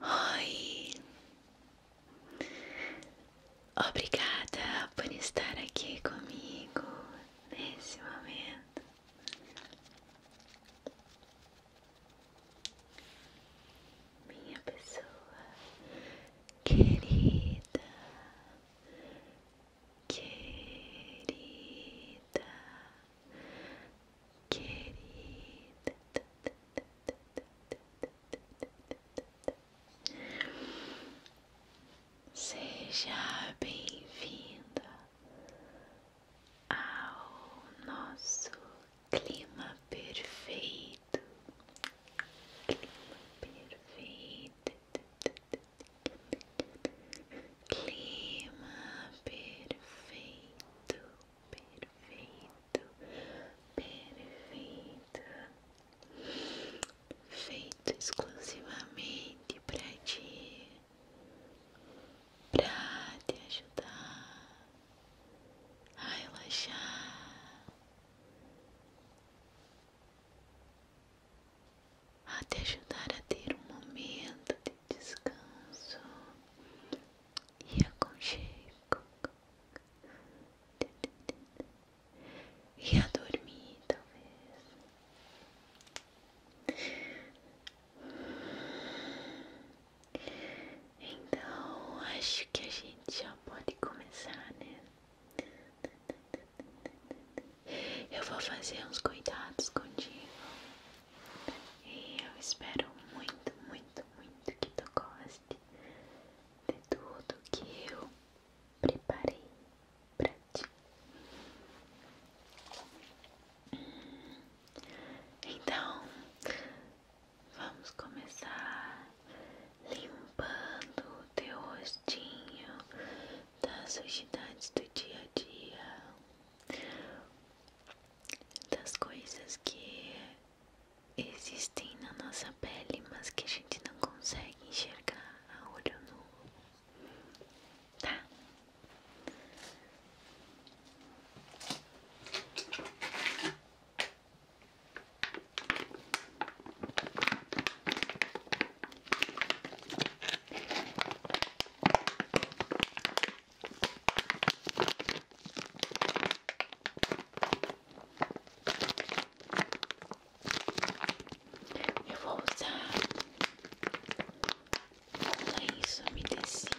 Oi, obrigada por estar aqui comigo nesse momento. Minha pessoa querida, querida, querida. Seja bem-vinda ao nosso clima perfeito. Clima perfeito clima perfeito, perfeito, perfeito, feito exclusivamente para ti, para te ajudar a relaxar, a te ajudar a ter um momento descanso e aconchego e a dormir, talvez. Então, acho que a gente já pode começar, né? Eu vou fazer uns cuidados contigo eu espero muito, muito, muito que tu goste de tudo que eu preparei pra ti. Então, vamos começar limpando o teu rostinho das sujidades do dia a dia das coisas que existem na nossa pele, mas que a gente não consegue enxergar a olho nu, tá? Eu vou usar um lenço tecido.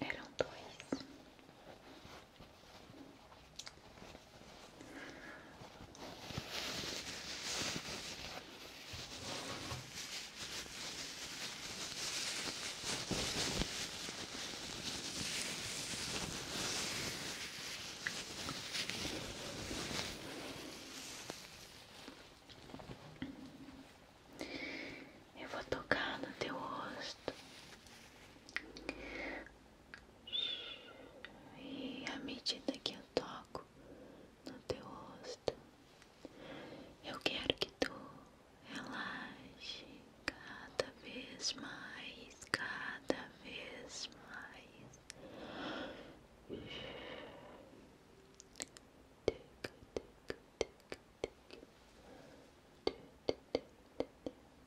Eram dois. Eu vou tocar no teu rosto e à medida que eu toco no teu rosto, eu quero que tu relaxe cada vez mais, cada vez mais.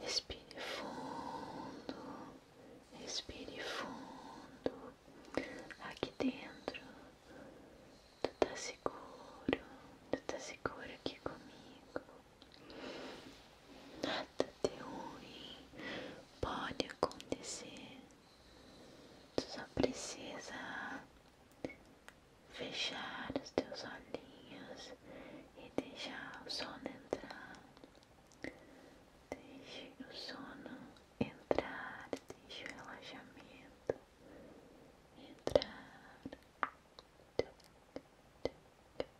Respire fundo, respire fundo. Aqui dentro, tu tá seguro, tu tá seguro aqui comigo. Nada de ruim pode acontecer. Tu só precisa fechar os teus olhinhos e deixar o sono entrar. Deixe o sono entrar, deixe o relaxamento entrar.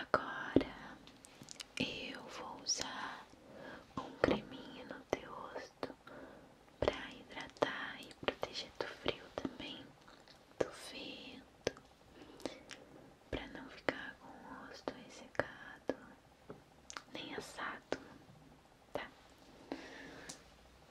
Agora eu vou usar um creminho no teu rosto para hidratar e proteger do frio também, do vento, para não ficar com o rosto ressecado nem assado, tá?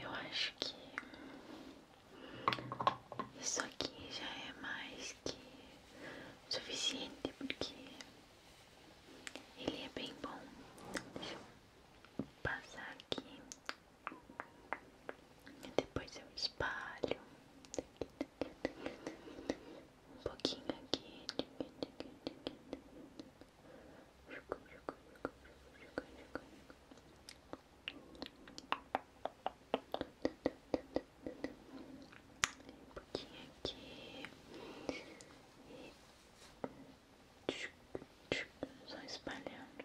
Eu acho que isso aqui já é mais que suficiente porque ele é bem bom. Deixa passar aqui. E depois eu espalho. Um pouquinho aqui. Um pouquinho aqui e espalhando.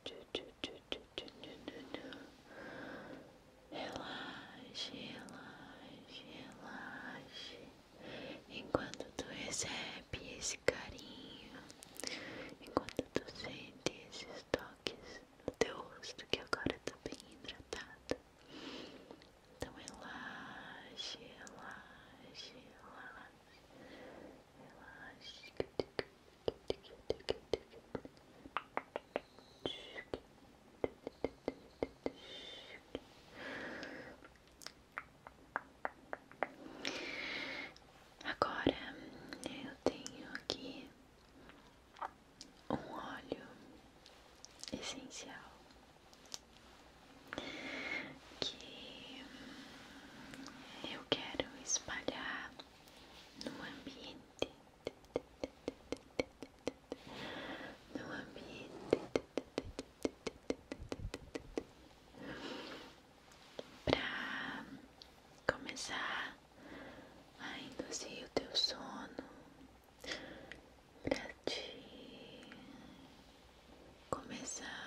Relaxe, relaxe, relaxe. Enquanto tu recebe esse carinho, enquanto tu sente esses toques no teu rosto que agora tá bem hidratado. Então relaxe, relaxe, relaxe. Relaxe. Agora eu tenho aqui um óleo essencial que eu quero espalhar no ambiente, no ambiente para começar a induzir o teu sono, para te começar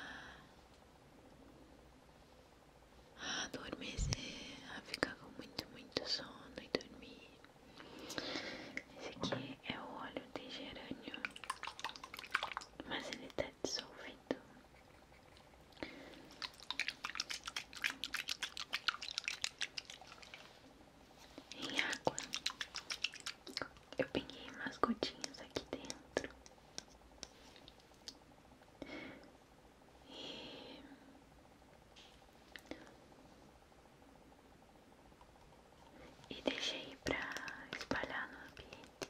a adormecer, a ficar com muito, muito sono e dormir. Esse aqui é o óleo de gerânio, mas ele tá dissolvido. Em água, eu peguei umas gotinhas aqui dentro e deixei para espalhar no ambiente.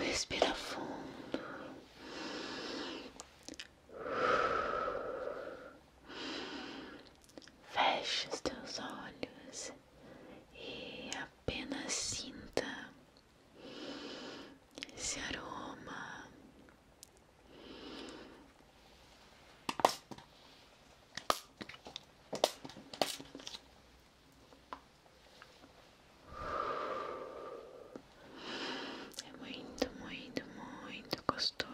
Respira fundo. Fecha os teus olhos e apenas sinta esse aroma. É muito, muito, muito gostoso.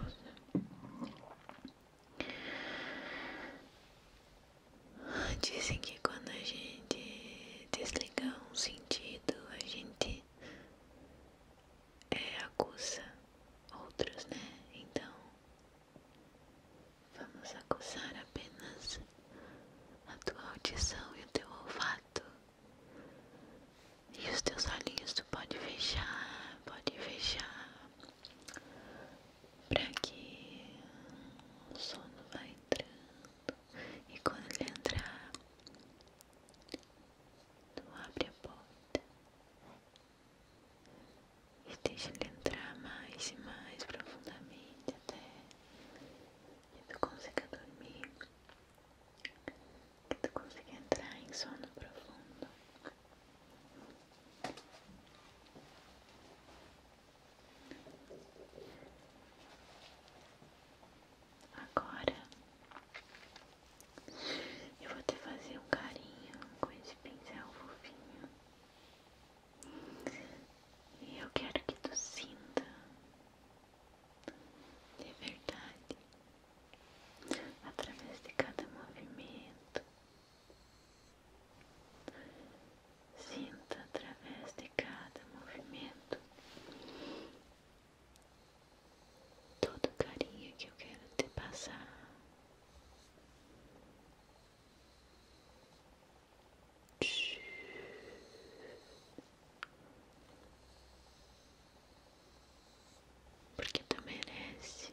Dizem que quando a gente desliga um sentido, a gente é, acusa outros, né? Então, vamos acusar apenas a tua audição e o teu olfato. E os teus olhinhos tu pode fechar, pode fechar para que o sono vá entrando e quando ele entrar, tu abre a porta e deixa ele entrar mais e mais profundamente até que tu consiga dormir, que tu consiga entrar em sono profundo. Agora eu vou te fazer um carinho com esse pincel fofinho. E eu quero que tu sinta de verdade através de cada movimento Sinta através de cada movimento todo o carinho que eu quero te passar. Porque tu merece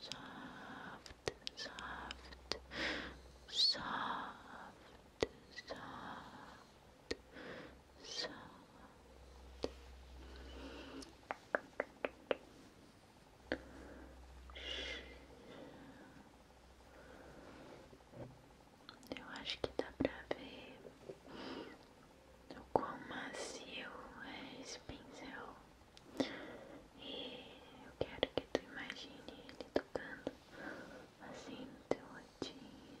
soft, soft, soft, soft, soft. Eu acho que dá pra ver do quão macio é esse pincel e eu quero que tu imagine ele tocando assim no teu latinho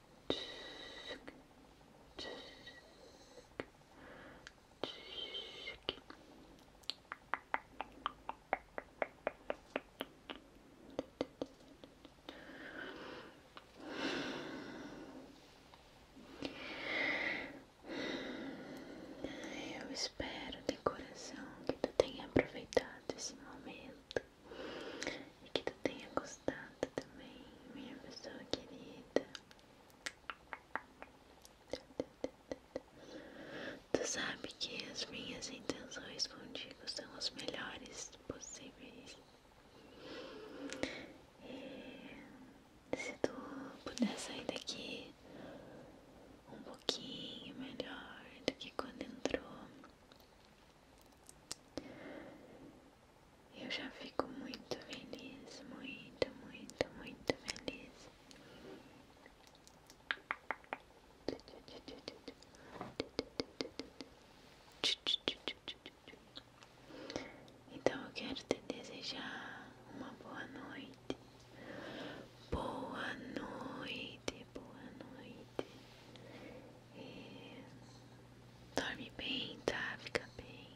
Eu espero de coração que tu tenha aproveitado esse momento e que tu tenha gostado também, minha pessoa querida. Tu sabe que as minhas intenções contigo são as melhores possíveis. se tu puder sair daqui um pouquinho melhor do que quando entrou, eu já fico muito feliz, muito, muito, muito feliz. Então eu quero te desejar uma boa noite. Boa noite, boa noite. Dorme bem, tá? Fica bem.